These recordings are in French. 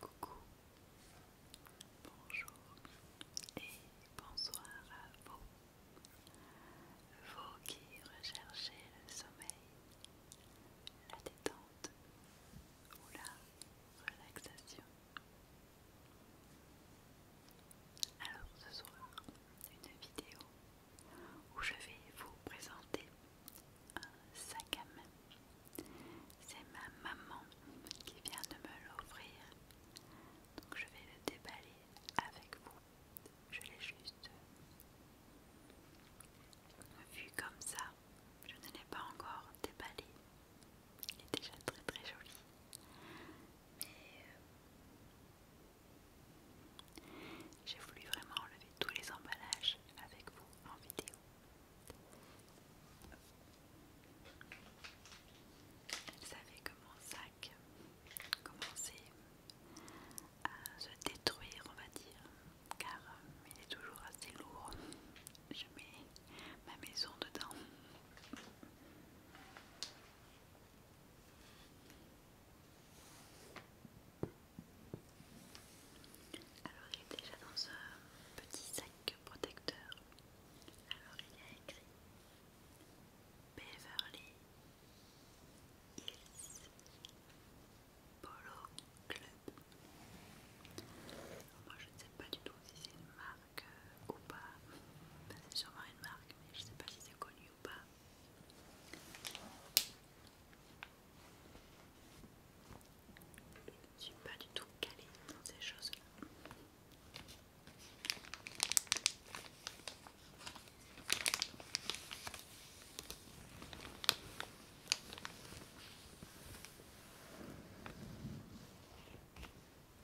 Coucou, bonjour et bonsoir à vous, vous qui recherchez le sommeil, la détente ou la relaxation. Alors ce soir, une vidéo où je vais vous présenter un sac à main. C'est ma maman qui vient de me l'offrir. Donc je vais le déballer avec vous. Je l'ai juste vu comme ça. Je ne l'ai pas encore déballé. Il est déjà très très joli mais euh, j'ai voulu vraiment enlever tous les emballages avec vous en vidéo. Elle savait que mon sac commençait à se détruire, on va dire, car euh, il est toujours assez lourd. Je mets ma maison dedans. Alors il est déjà dans ce petit sac protecteur. Alors il y a écrit Beverly Hills Polo Club. moi je ne sais pas du tout si c'est une marque euh, ou pas. Ben, c'est sûrement une marque, mais je sais pas si c'est connu ou pas. Je suis pas du tout calée dans ces choses-là.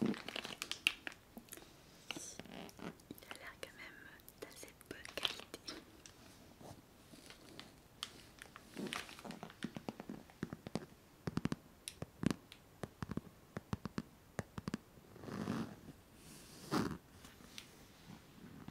Il a l'air quand même d'assez bonne qualité.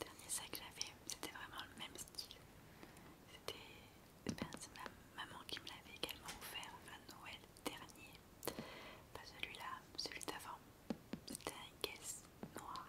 Dernier sac que j'avais, c'était vraiment le même style. C'était ma maman qui me l'avait également offert à Noël dernier. Pas celui-là, celui, d'avant. C'était un caisse noire.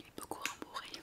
Il est beaucoup rembourré.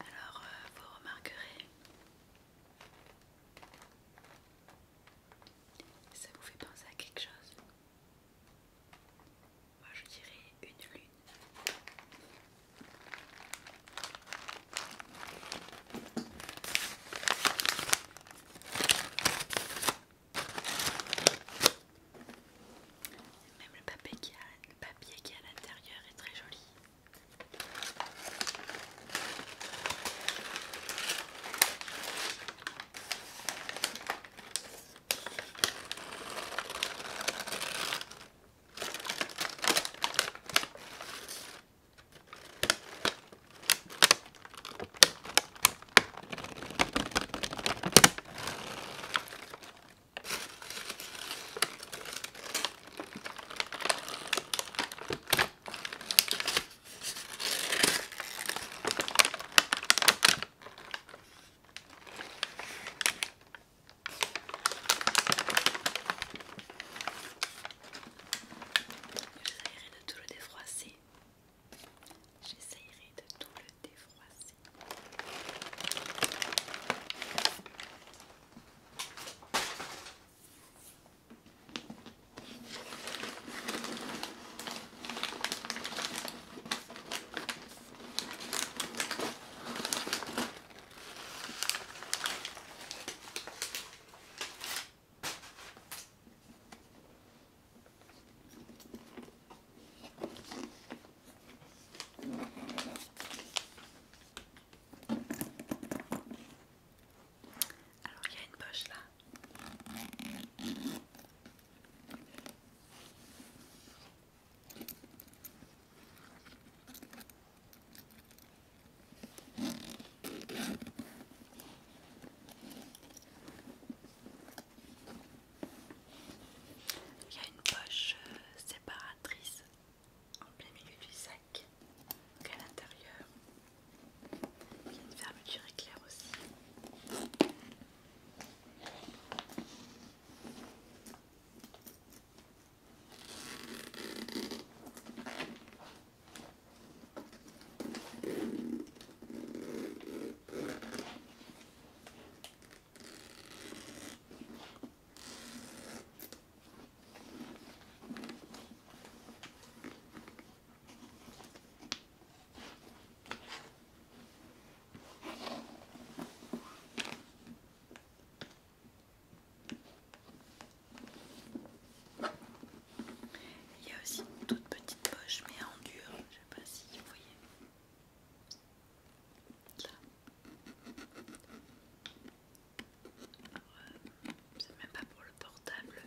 Alors, euh, vous remarquerez, ça vous fait penser à quelque chose. Moi, je dirais une lune. Même le papier qui est à l'intérieur est très joli. Je de tout le défroisser J'essayerai de tout le défroisser. Alors il y a une poche là. Il y a une poche euh, séparatrice en plein milieu du sac, donc à l'intérieur. Il y a une fermeture éclair aussi. Il y a aussi toute petite poche mais en dur, je sais pas si vous voyez c'est même pas pour le portable,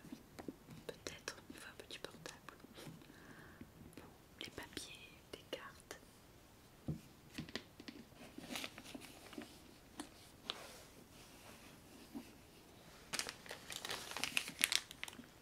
peut-être, un petit portable. les papiers, des cartes.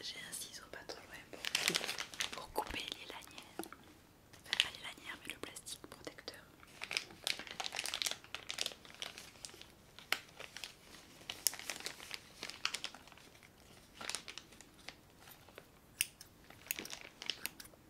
J'ai un ciseau pas trop pour, couper les lanières. pas les lanières, mais le plastique protecteur.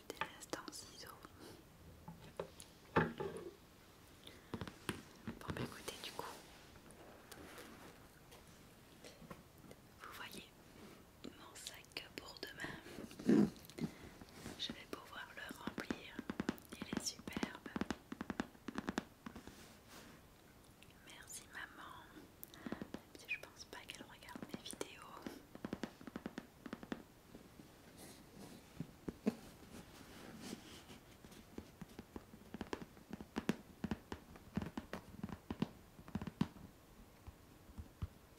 C'était l'instant ciseaux. Bon, bah écoutez, du coup, vous voyez, mon sac que pour demain. Je vais pouvoir le remplir. Il est superbe. Merci maman. je pense pas qu'elle regarde mes vidéos.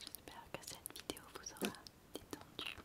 J'espère que cette vidéo vous aura détendu.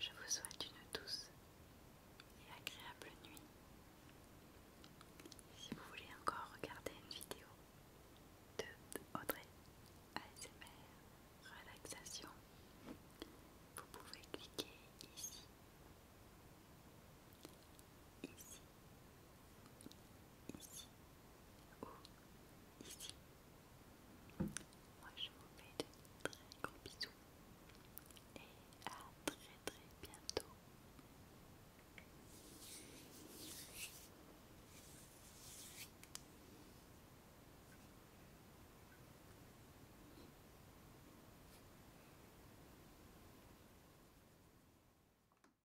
Je vous souhaite une douce et agréable nuit. Si vous voulez encore regarder une vidéo de Audrey ASMR Relaxation, vous pouvez cliquer ici, ici ici ou ici. Moi je vous fais de très gros bisous et à très très bientôt.